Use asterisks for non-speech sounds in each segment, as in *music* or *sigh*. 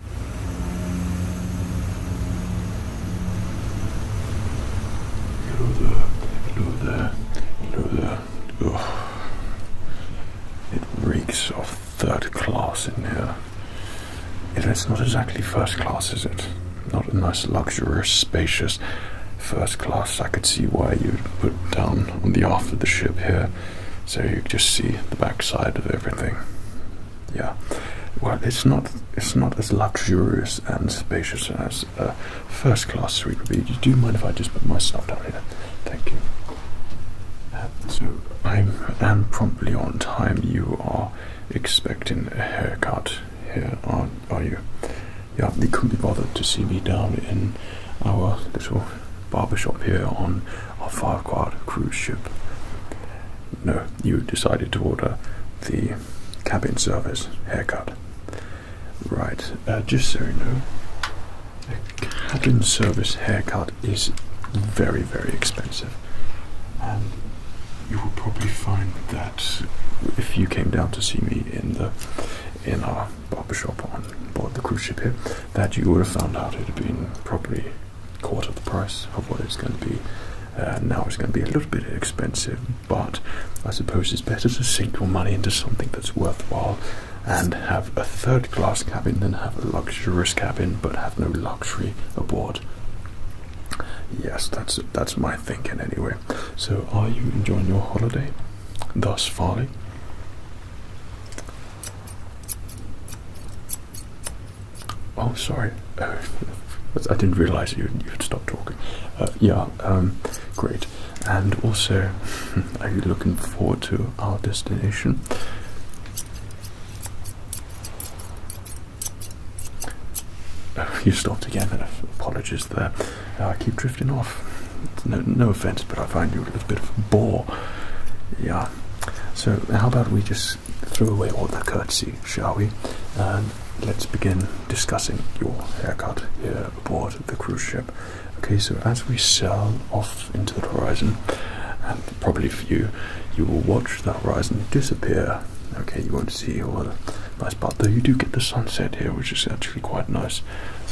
Hello there, hello there, hello there. It reeks of third class in here. it's not exactly first class, is it? Not a nice, luxurious, spacious first class. I could see why you'd put down on the aft of the ship here, so you just see the backside of everything. Yeah, well, it's not it's not as luxurious and spacious as a first class suite would be. Do you mind if I just put my stuff down here? Thank you. Uh, so I am promptly on time. You are expecting a haircut here, are are you? Yeah, you couldn't be bothered to see me down in our little barber shop here on our Farquhar cruise ship. No, you decided to order the cabin service haircut. Right, uh, just so you know, a cabin service haircut is very, very expensive. And you will probably find that if you came down to see me in the in our barbershop on board the cruise ship here, that you would have found out it had been properly quarter of the price of what it's going to be. Uh, now it's going to be a little bit expensive, but I suppose it's better to sink your money into something that's worthwhile and have a third class cabin than have a luxurious cabin but have no luxury aboard. Yes, that's that's my thinking anyway. So, are you enjoying your holiday thus far? Oh, sorry. Uh, I didn't realize you, you had stopped talking. Uh, yeah, um, great. And also, *laughs* are you looking forward to our destination? Oh, you stopped again. Apologies there. Uh, I keep drifting off. No, no offense, but I find you a little bit of a bore. Yeah. So, how about we just throw away all the courtesy, shall we? And let's begin discussing your haircut here aboard the cruise ship. Okay, so as we sail off into the horizon, and probably for you, you will watch the horizon disappear. Okay, you won't see all the nice part, though you do get the sunset here, which is actually quite nice.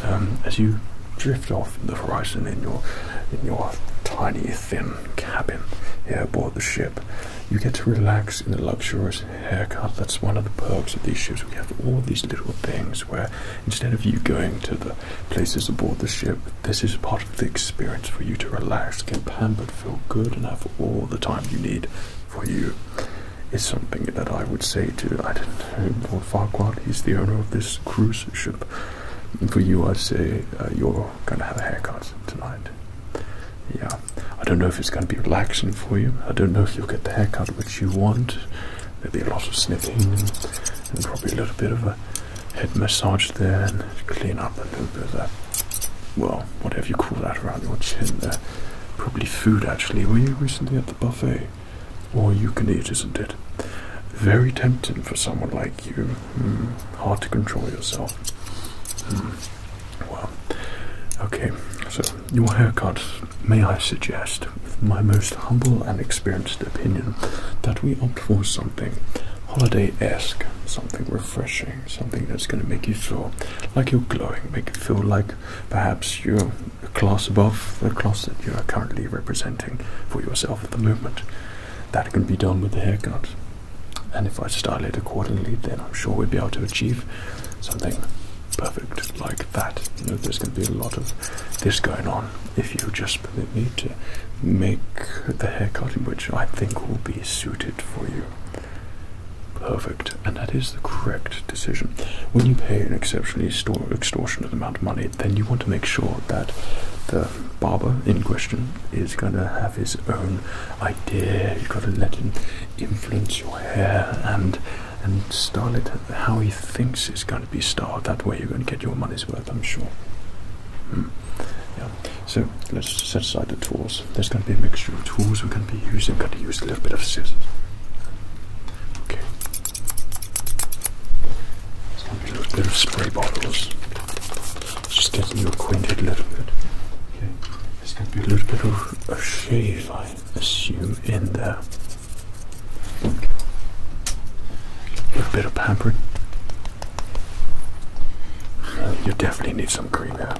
Um, as you drift off the horizon in your in your tiny thin cabin here aboard the ship. You get to relax in the luxurious haircut. That's one of the perks of these ships. We have all these little things where instead of you going to the places aboard the ship, this is part of the experience for you to relax, get pampered, feel good, and have all the time you need for you. It's something that I would say to, I don't know, Lord Farquhar, he's the owner of this cruise ship for you, I'd say uh, you're gonna have a haircut tonight. Yeah, I don't know if it's gonna be relaxing for you. I don't know if you'll get the haircut which you want. There'll be a lot of snipping and, probably a little bit of a head massage there and clean up a little bit of that. Well, whatever you call that around your chin there. Probably food actually. Were you recently at the buffet? Or you can eat, isn't it? Very tempting for someone like you. Mm, hard to control yourself. Mm. well, okay, so your haircut, may I suggest, with my most humble and experienced opinion, that we opt for something holiday esque, something refreshing, something that's going to make you feel like you're glowing, make you feel like perhaps you're a class above the class that you are currently representing for yourself at the moment. That can be done with the haircut. And if I style it accordingly, then I'm sure we'll be able to achieve something perfect like that. there's going to be a lot of this going on if you just permit me to make the haircut in which I think will be suited for you. Perfect, and that is the correct decision. When you pay an exceptionally extortionate amount of money, then you want to make sure that the the barber in question is gonna have his own idea. You've got to let him influence your hair and and style it how he thinks it's gonna be styled. That way, you're gonna get your money's worth, I'm sure. Hmm. Yeah. So let's set aside the tools. There's gonna be a mixture of tools we're gonna be using. We're gonna use a little bit of scissors. Okay. There's going a little bit of spray bottles. Just getting you acquainted a little bit. Okay. There's going to be a little bit of a shave, I assume, in there. A bit of pampering. Uh, you definitely need some cream here.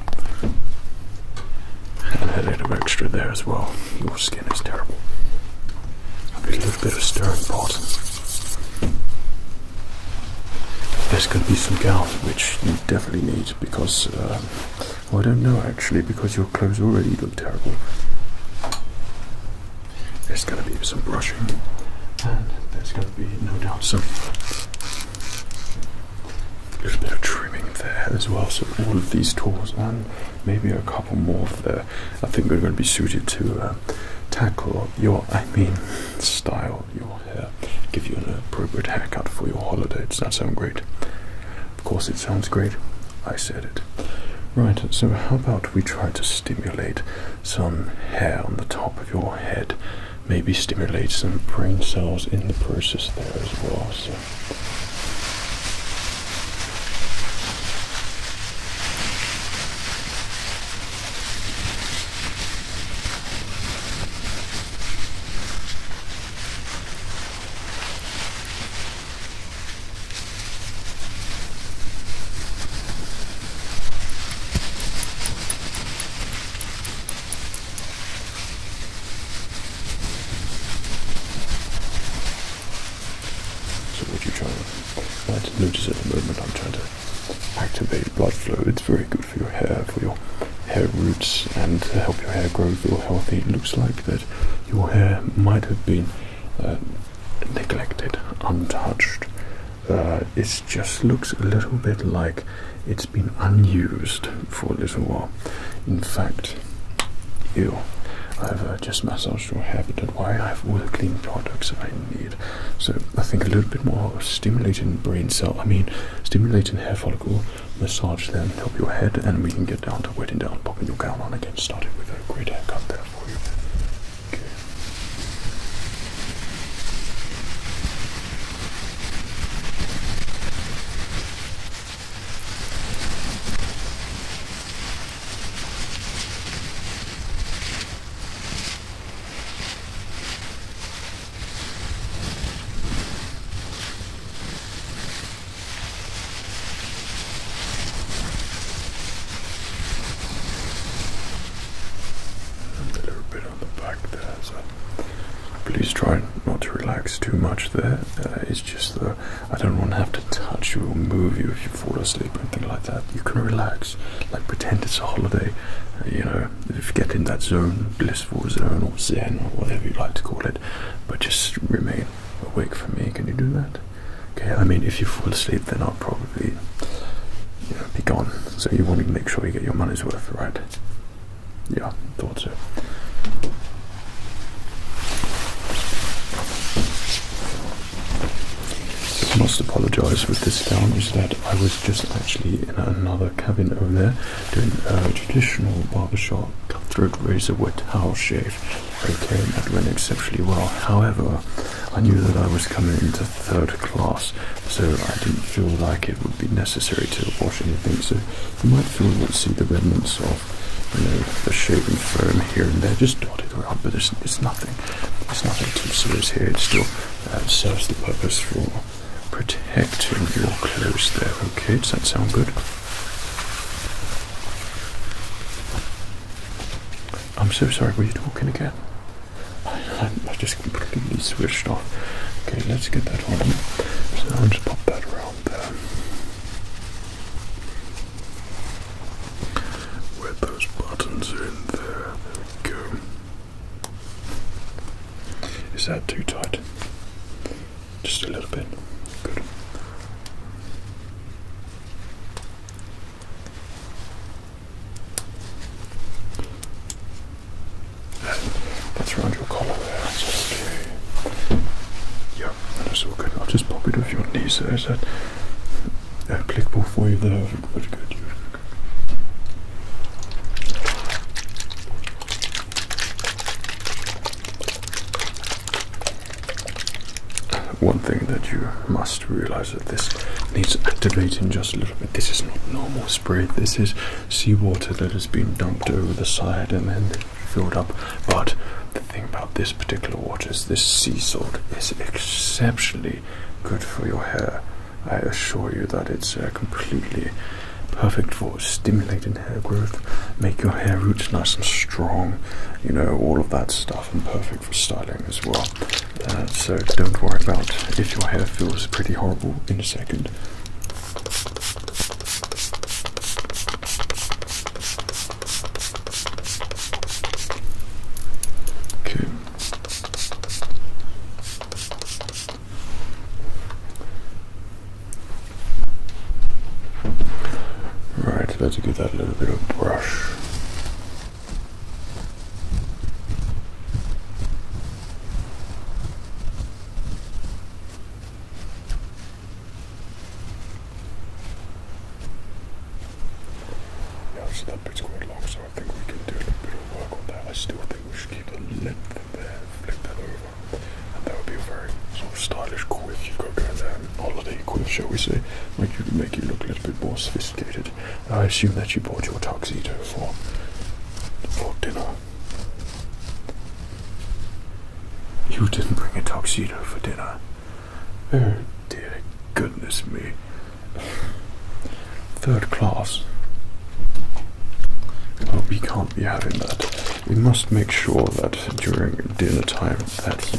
And a little extra there as well. Your skin is terrible. A little bit of stirring boss. There's going to be some gauze, which you definitely need because um, I don't know actually because your clothes already look terrible. There's going to be some brushing, and there's going to be no doubt some little bit of trimming there as well. So all of these tools and maybe a couple more of there, I think they're going to be suited to. Uh, tackle your, I mean, style your hair, give you an appropriate haircut for your holiday. Does that sound great? Of course, it sounds great. I said it. Right, so how about we try to stimulate some hair on the top of your head? Maybe stimulate some brain cells in the process there as well. So. So what you trying to notice at the I'm trying to activate blood flow. It's very good for your hair, for your hair roots, and to help your hair grow, feel healthy. It looks like that your hair might have been uh, neglected, untouched. Uh, it just looks a little bit like it's been unused for a little while. In fact, you. I've uh, just massaged your hair, but why I have all the clean products I need. So I think a little bit more stimulating brain cell. I mean, stimulating hair follicle massage then help your head, and we can get down to wetting down, popping your gown on again. Starting with a great haircut there for you. Okay. A little bit on the back there, so please try not to relax too much there. Uh, just that I don't want to have to touch you or move you if fall asleep or anything like that. You can relax, like pretend it's a holiday. Uh, you know, if you get in that zone, blissful zone or zen or whatever you like to call it, but just remain awake for me. Can you do that? Okay. I mean, if you fall asleep, then I'll probably you know, be gone. So you want to make sure you get your money's worth, right? Yeah, thought so. I must apologise with this down is that I was just actually in another cabin over there doing a traditional barber barbershop cutthroat razor wet towel shave. Okay, that went exceptionally well. However, I knew that I was coming into third class, so I didn't feel like it would be necessary to wash anything. So you might feel you see the remnants of you know the shaving foam here and there just dotted around, but there's it's nothing. There's nothing too serious here, it still uh, serves the purpose for protecting your clothes there. Okay, does that sound good? I'm so sorry, were you talking again? I, I just completely switched off. Okay, let's get that on. So I'll just pop that around there. Where those buttons in there, there we go. Is that too tight? Just a little bit. Good. that's around your collar there, that's okay. Yeah, that's all good. I'll just pop it off your knee so is that applicable for you there. One thing that you must realize that this needs activating just a little bit. This is not normal spray. This is seawater that has been dumped over the side and then filled up. But the thing about this particular water is this sea salt is exceptionally good for your hair. I assure you that it's uh, completely perfect for stimulating hair growth, make your hair roots nice and strong, you know, all of that stuff, and perfect for styling as well. Uh, so don't worry about if your hair feels pretty horrible in a second. Okay, Right, let's give that a little bit of brush. Yeah, so that bit's quite long, sorry. I think we can do a bit of work on that. I still think we should keep the length in there, flip that over, and that would be a very sort of stylish quiff you've got going there, holiday quiff, shall we say? Make you make you look a little bit more sophisticated. I assume that you brought your tuxedo for for dinner. You didn't bring a tuxedo for dinner. Oh dear goodness me. Third class. Oh, we can't be having that. We must make sure that during dinner time that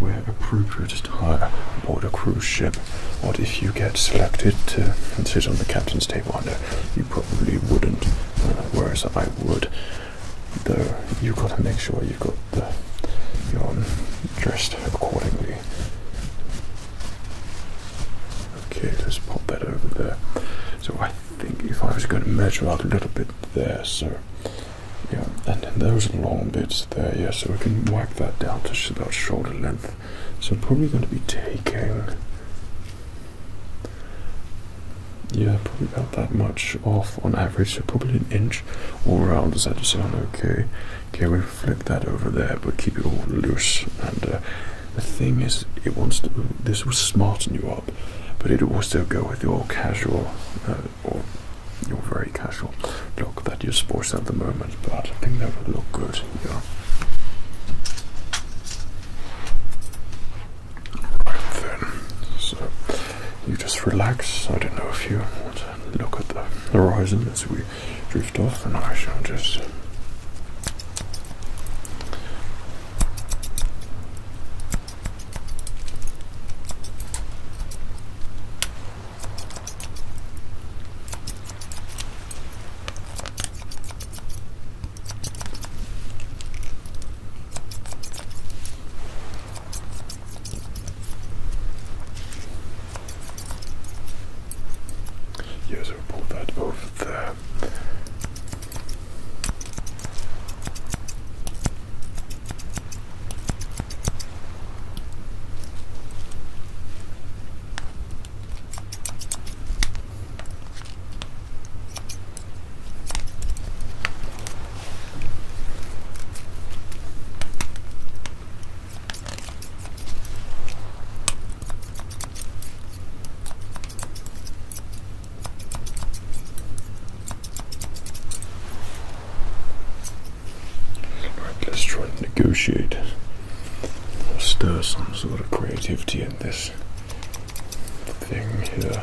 you are appropriate attire aboard a cruise ship. What if you get selected to sit on the captain's table? I you probably wouldn't, uh, whereas I would. Though you've got to make sure you've got the you dressed accordingly Okay, let's pop that over there. So I think if I was going to measure out a little bit there, so yeah, and then those long bits there, yeah, so we can whack that down to about shoulder length. So probably going to be taking, yeah, probably about that much off on average, so probably an inch all around. Does that sound okay? Okay, flip that over there, but keep it all loose. And uh, the thing is, it wants to. This will smarten you up, but it will still go with your casual uh, or your very casual look that you're sporting at the moment. But I think that would look good. Yeah. Right then, so you just relax. I don't know if you want look at the horizon as we drift off, and I shall just. Yes, so we'll pull that over there let's try and negotiate stir some sort of creativity in this thing here.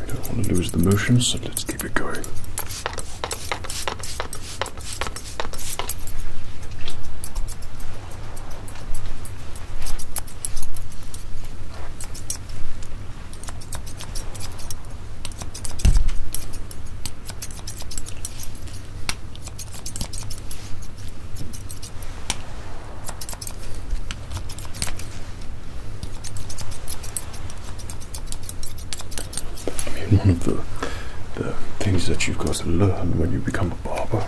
We don't want to lose the motion, so let's keep it going one of the the things that you've got to learn when you become a barber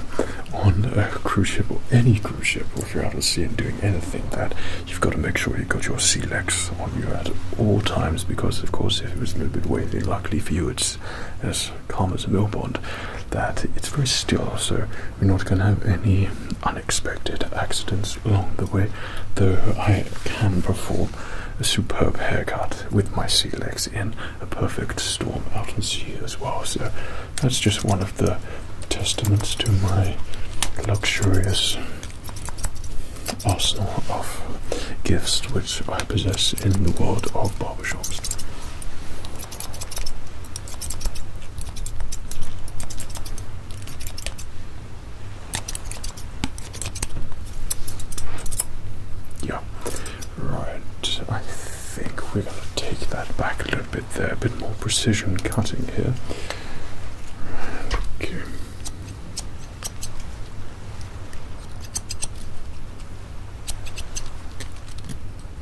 on a cruise ship or any cruise ship, if you're out at sea and doing anything, that you've got to make sure you've got your legs on you at all times because, of course, if it was a little bit wavy, luckily for you, it's as calm as a billboard, that it's very still, so we're not going to have any unexpected accidents along the way. Though I can perform a superb haircut with my sea legs in a perfect storm out at sea as well. So that's just one of the testaments to my luxurious arsenal of gifts which I possess in the world of barbershops. Yeah, right. I think we're going to take that back a little bit there, a bit more precision cutting here. Okay.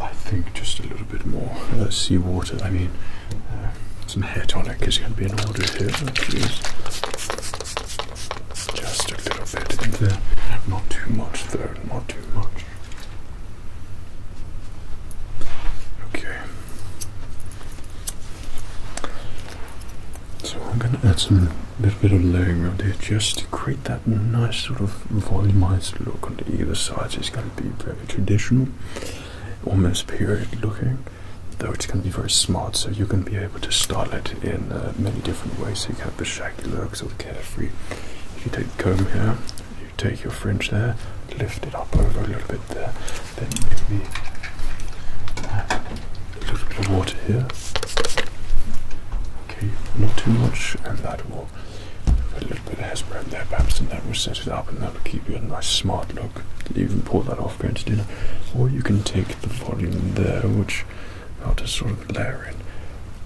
I think just a little bit more uh, seawater. I mean, uh, some hair tonic is going to be in order here. Oh, just a little bit in there. Not too much, though. Not too much. Okay. So I'm going to add some little bit of layering around here just to create that nice sort of volumized look on either sides. it's going to be very traditional, almost period looking, though it's going to be very smart. So you're going to be able to style it in uh, many different ways. you can have the shaggy look, sort the carefree. If you take the comb here, you take your fringe there, lift it up over a little bit there, then maybe. Uh, a little bit of water here. Okay, not too much, and that will put a little bit of hairspray in there, perhaps, and that will set it up, and that will give you a nice smart look. You can pull that off going to dinner, or you can take the volume there, which I'll just sort of layer in,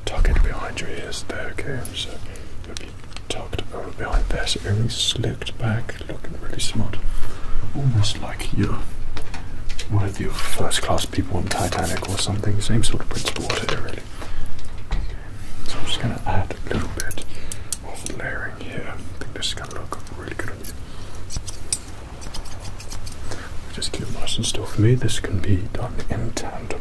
tuck it behind your ears there. Okay, so it'll be tucked over behind there, so everything's slicked back, look really smart. Almost like you're one of your first class people on Titanic or something. Same sort of principle here, really. So I'm just going to add a little bit of layering here. I think this is going to look really good on you. Just keep nice and still for me. This can be done in tandem.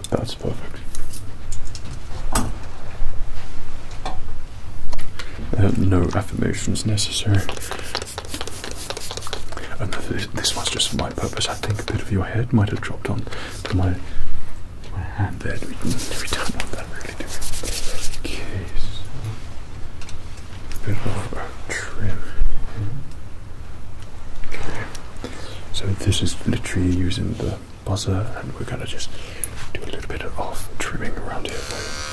that's perfect. Uh, no affirmations necessary. Oh, this, this just for my purpose. I think a bit of your head might have dropped on my, my hand there. Do we, we don't really, do we? a bit of a trim. So this is literally using the buzzer, and we're gonna just do a little bit of trimming around here. For you.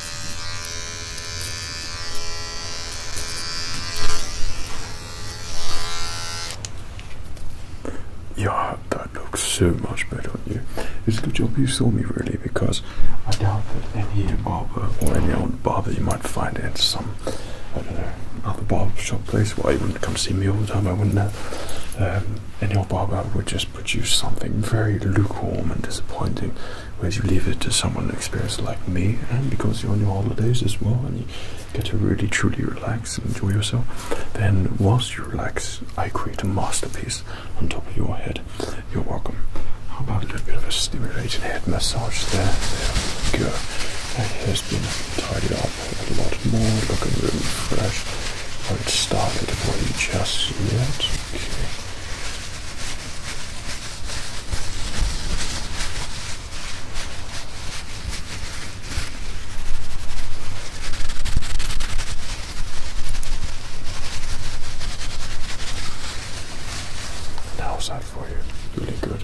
Yeah, that looks so much better on you. It's a good job you saw me, really, because I doubt that any barber or any old barber you might find at some, other barber shop place. Well, you wouldn't come see me all the time. I wouldn't know. Uh, um, any old barber would just produce something very lukewarm and disappointing, whereas you leave it to someone experienced like me, and because you're on your holidays as well, and you get to really truly relax and enjoy yourself, then whilst you relax, I create a masterpiece on top of your head. You're welcome. How about a little bit of a stimulated head massage there? There we That has been tidied up a lot more, looking really fresh. Won't start it for you just yet. How's that for you? Really good.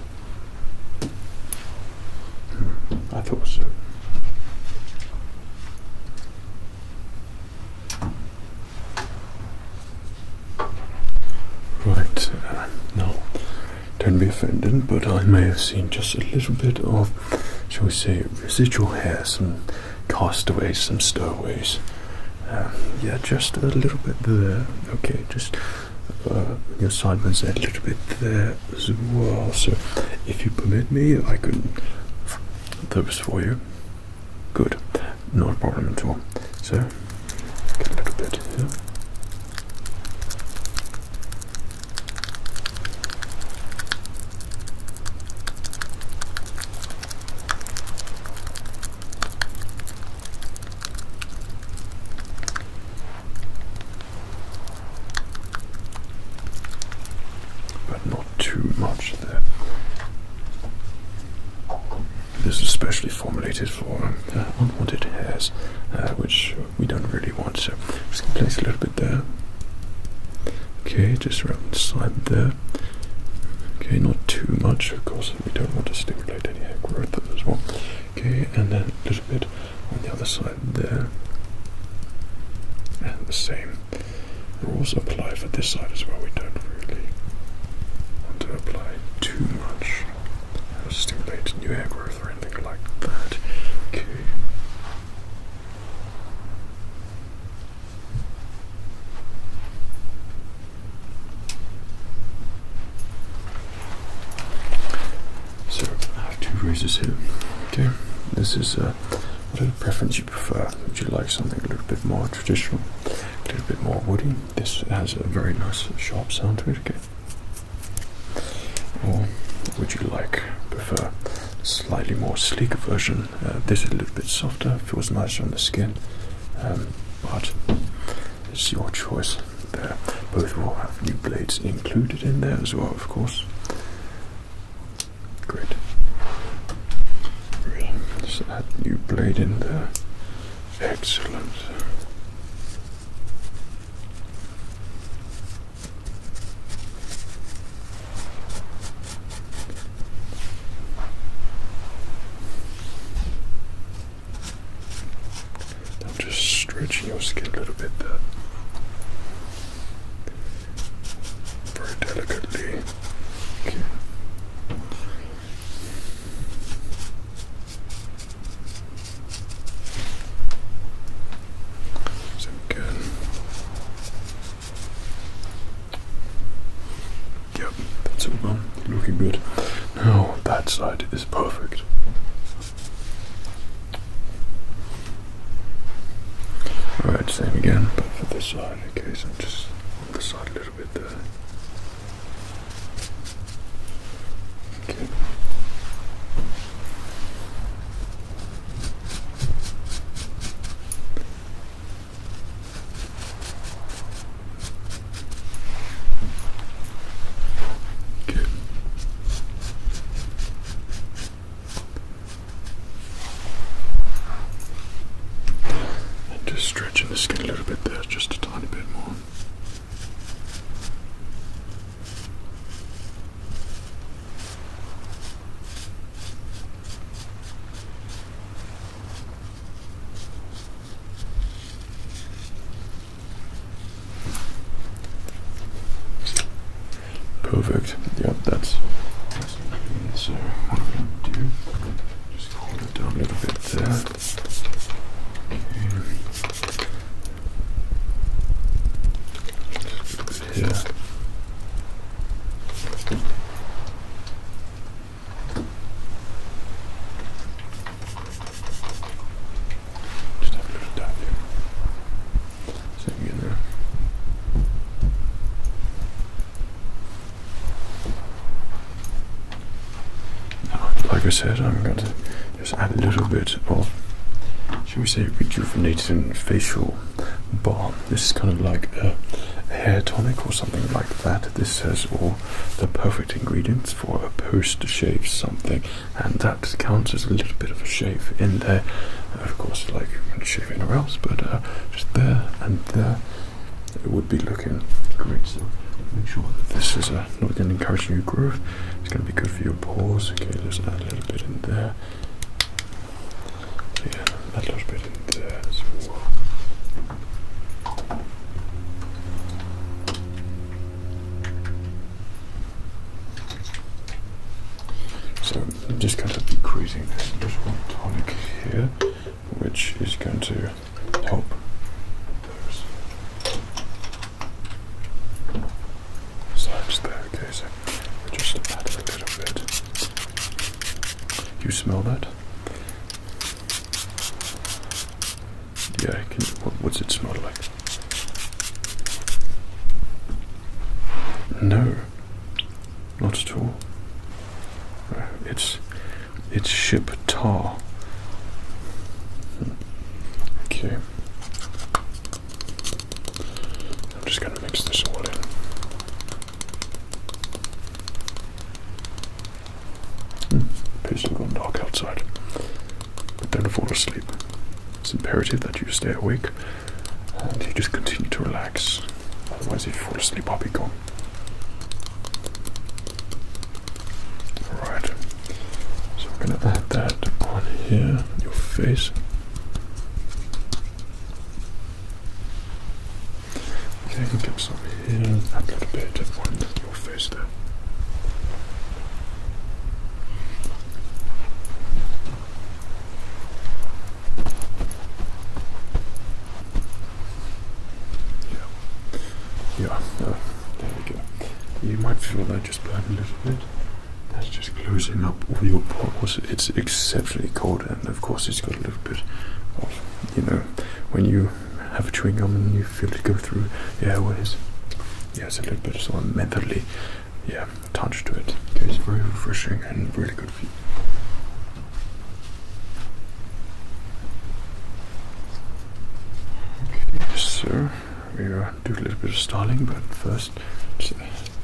Hmm. I thought so. Right, uh, no. don't be offended, but I may have seen just a little bit of, shall we say, residual hair, some castaways, some stowaways. Um, yeah, just a little bit there. Okay, just uh, your sideburns a little bit there as well. So, if you permit me, I could those for you. Good, not a problem at all. So, a little bit here. But too much there. This is specially formulated for um, uh, unwanted hairs, uh, which we don't really want, so just place a little bit there. Okay, just around the side there. Okay, not too much, of course, we don't want to stimulate any hair growth as well. Okay, and then a little bit on the other side there. And the same rules apply for this side as well. We don't really want to apply too much or stimulate new hair growth or anything like that. Okay. So I have two razors here. Okay, this is uh, a preference prefer? Would you like something a little bit more traditional, a little bit more woody? This has a very nice sharp sound to it, okay? Or would you like prefer a slightly more sleek version? Uh, this is a little bit softer, feels nicer on the skin, um, but it's your choice there. Both will have new blades included in there as well, of course. Great. So that new blade in there. Excellent. I'm just stretching your skin a little bit there very delicately. Okay. So again, yep, that's all done. Looking good. Now that side is perfect. Alright, same again, but for this side side, okay, so I'm just on the side a little bit there. Okay. Good just stretching the skin a little bit there, just a tiny bit more. Perfect. Yep, that's. So I'm going to do, just cool it down a little bit there. a little dab here like I said, I'm going to just add a little bit of, should we say, rejuvenating facial balm. This is kind of like a hair tonic or something like that. This says all the perfect ingredients for a post shave something, and that counts as a little bit of a shave in there of course, like shape anywhere else, but uh, just there and there, it would be looking great. So make sure that this is uh, not going to encourage new growth. It's going to be good for your pores. Okay, let's add a little bit in there. Yeah, a little bit in there so I'm just going to be creating this little tonic here, which is going to help those sides there. Okay, so just add a little bit. You smell that? Yeah. Can what, what's it smell like? No. Not at all. It's it's ship tar. Okay. I'm just going to mix this all in. Hmm. Appears to have gone dark outside. But don't fall asleep. It's imperative that you stay awake and you just continue to relax. Otherwise, you fall asleep, I'll be gone. Alright, so I'm gonna add that on here, your face. Okay, you can get some here and a little bit on your face there. Yeah, yeah there we go. You might feel that just burn a little bit. That's just closing up all your pores. It's exceptionally cold, and of course, it's got a little bit of you know when you have a chewing gum and you feel it go through your airways. Yeah, it's a little bit sort of mentally, yeah, touch to it. Okay, it's very refreshing and really good for you. Okay, so we are do a little bit of styling, but first,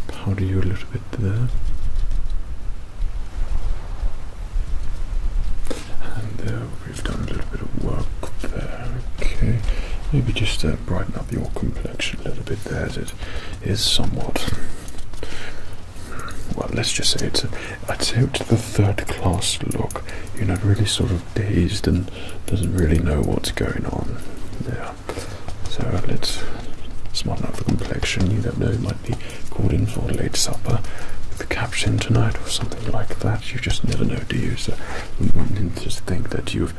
powder you a little bit there. And we've done a little bit of work there. Okay, maybe just uh, brighten up your complexion a little bit there. As is somewhat. Well, let's just say it's a, I'd say it's the third class look. You know, really sort of dazed and doesn't really know what's going on. Yeah. So let's smarten up the complexion. You don't know, you might be called in for late supper with the captain tonight or something like that. You just never know, do you? So we just think that you've,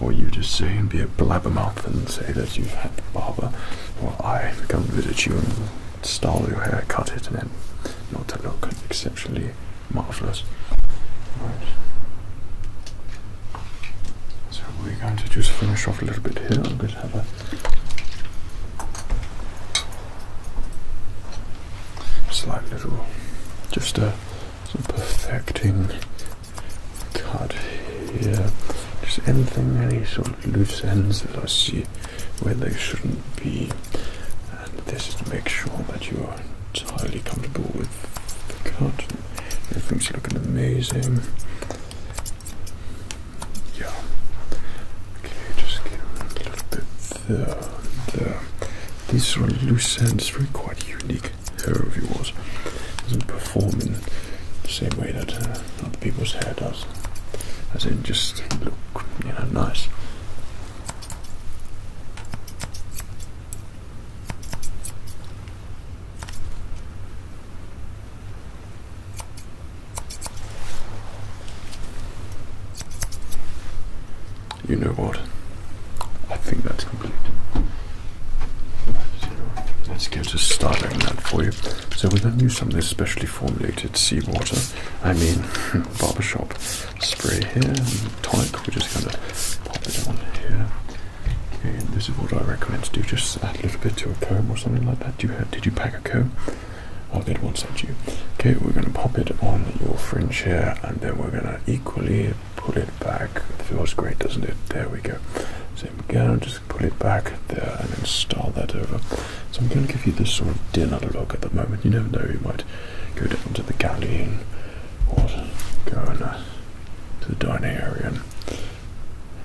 or you just say and be a blabbermouth and say that you've had a barber, or I come visit you and style your hair, cut it, and then not look exceptionally marvelous. So we're going to just finish off a little bit here. i will going have a slight little, just a perfecting cut here. Just anything, any sort of loose ends that I see where they shouldn't be. And this is to make sure that you are entirely comfortable with the cut. Everything's looking amazing. Yeah. Okay, just get a little bit there. There. These sort of loose ends, very quite unique hair of yours. Doesn't form in the same way that uh, other people's hair does. As in, just look, you know, nice. You know what? I think that's complete. Let's get to starting that for you. So we are going to use some of this specially formulated seawater, I mean *laughs* barbershop spray here, tonic, we're just going to pop it on here. Okay, and this is what I recommend to do, just add a little bit to a comb or something like that. did you pack a comb? I'll get one sent you. Okay, we're going to pop it on your fringe here, and then we're going to equally pull it back. It feels great, doesn't it? There we go. Same gown, Pull it back there and install that over. So I'm going to give you this sort of dinner look at the moment. You never know, you might go down to the galley and go and, to the dining area and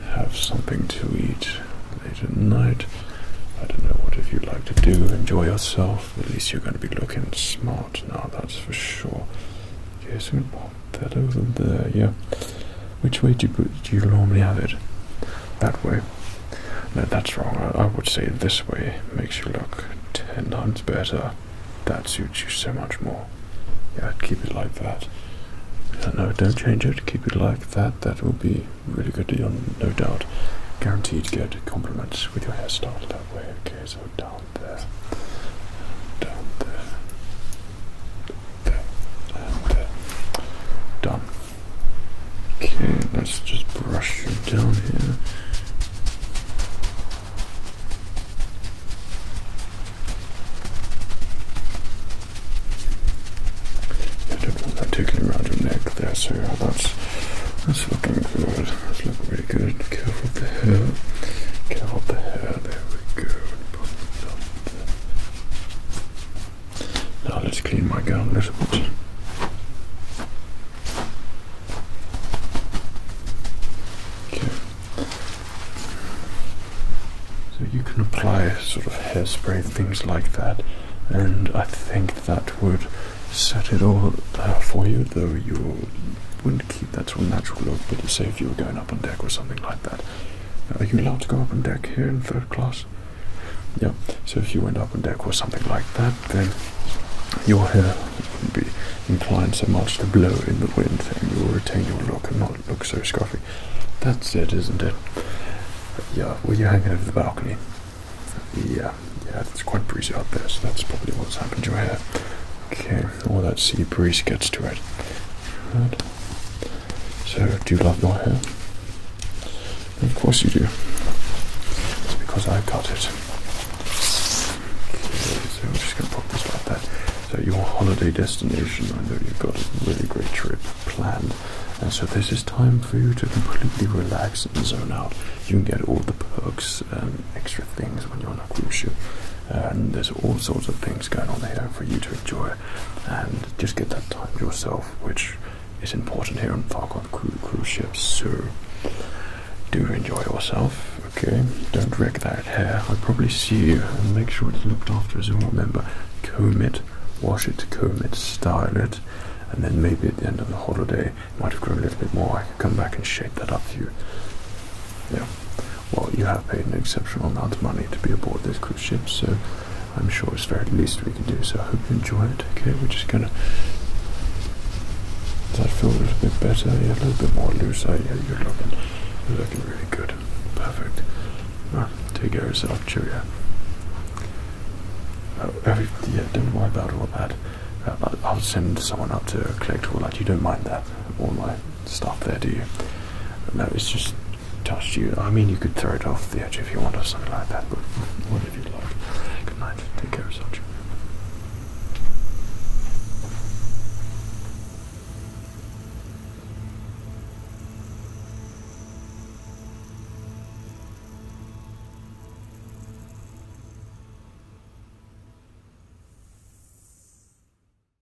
have something to eat late at night. I don't know what if you'd like to do, enjoy yourself. At least you're going to be looking smart now, that's for sure. Okay, so that over there, yeah. Which way do you, normally have it? That way. No, that's wrong. I, would say this way makes you look ten times better. That suits you so much more. Yeah, keep it like that. no, don't change it. Keep it like that. That will be really good, no doubt. Guaranteed to get compliments with your hairstyle that way. Okay, so down there. Down there that, and that. Done. Okay, let's just brush you down here. I don't want tickling around your neck there, so that's that's looking good. That's looking really good. Careful of the hair. Careful of the hair. There we go. Pop now let's clean my gown a little bit. Okay. So you can apply sort of hairspray, things like that, and I think that would set it all uh, for you, though you wouldn't keep that sort of natural look, but say if you were going up on deck or something like that. Are you allowed to go up on deck here in third class? Yeah, so if you went up on deck or something like that, then your hair would be inclined so much to blow in the wind and you will retain your look and not look so scruffy. That's it, isn't it? Yeah, well, you're hanging over the balcony. Yeah, yeah, it's quite breezy out there, so that's probably what's happened to your hair. Okay, all oh, that sea breeze gets to it. So, do you love your hair? Of course you do. It's because I got it. so I'm just going to pop this like that. So your holiday destination, I know you've got a really great trip planned. And so this is time for you to completely relax and zone out. You can get all the perks and extra things when you're on a cruise ship. And there's all sorts of things going on here for you to enjoy. And just get that time to yourself, which is important here on Falcon cruise ships. So do enjoy yourself. Okay, don't wreck that hair. I'll probably see you and make sure it's looked after as well. Remember, comb it, wash it, comb it, style it, and then maybe at the end of the holiday, it might have grown a little bit more. I could come back and shape that up for you. Yeah well, you have paid an exceptional amount of money to be aboard this cruise ship, so I'm sure it's the very least we can do. So I hope you enjoy it. Okay, we're just gonna. Does that feel a little bit better? Yeah, a little bit more loose. Eh? Yeah, you're looking, you're looking really good. Perfect. Right, take care of yourself. Cheerio. Oh, yeah, don't worry about all that. Uh, I'll send someone up to collect all that. You don't mind that, all my stop there, do you? No, it's just touched you. I mean, you could throw it off the edge if you want or something like that, but whatever you like. Good night. Take care of such.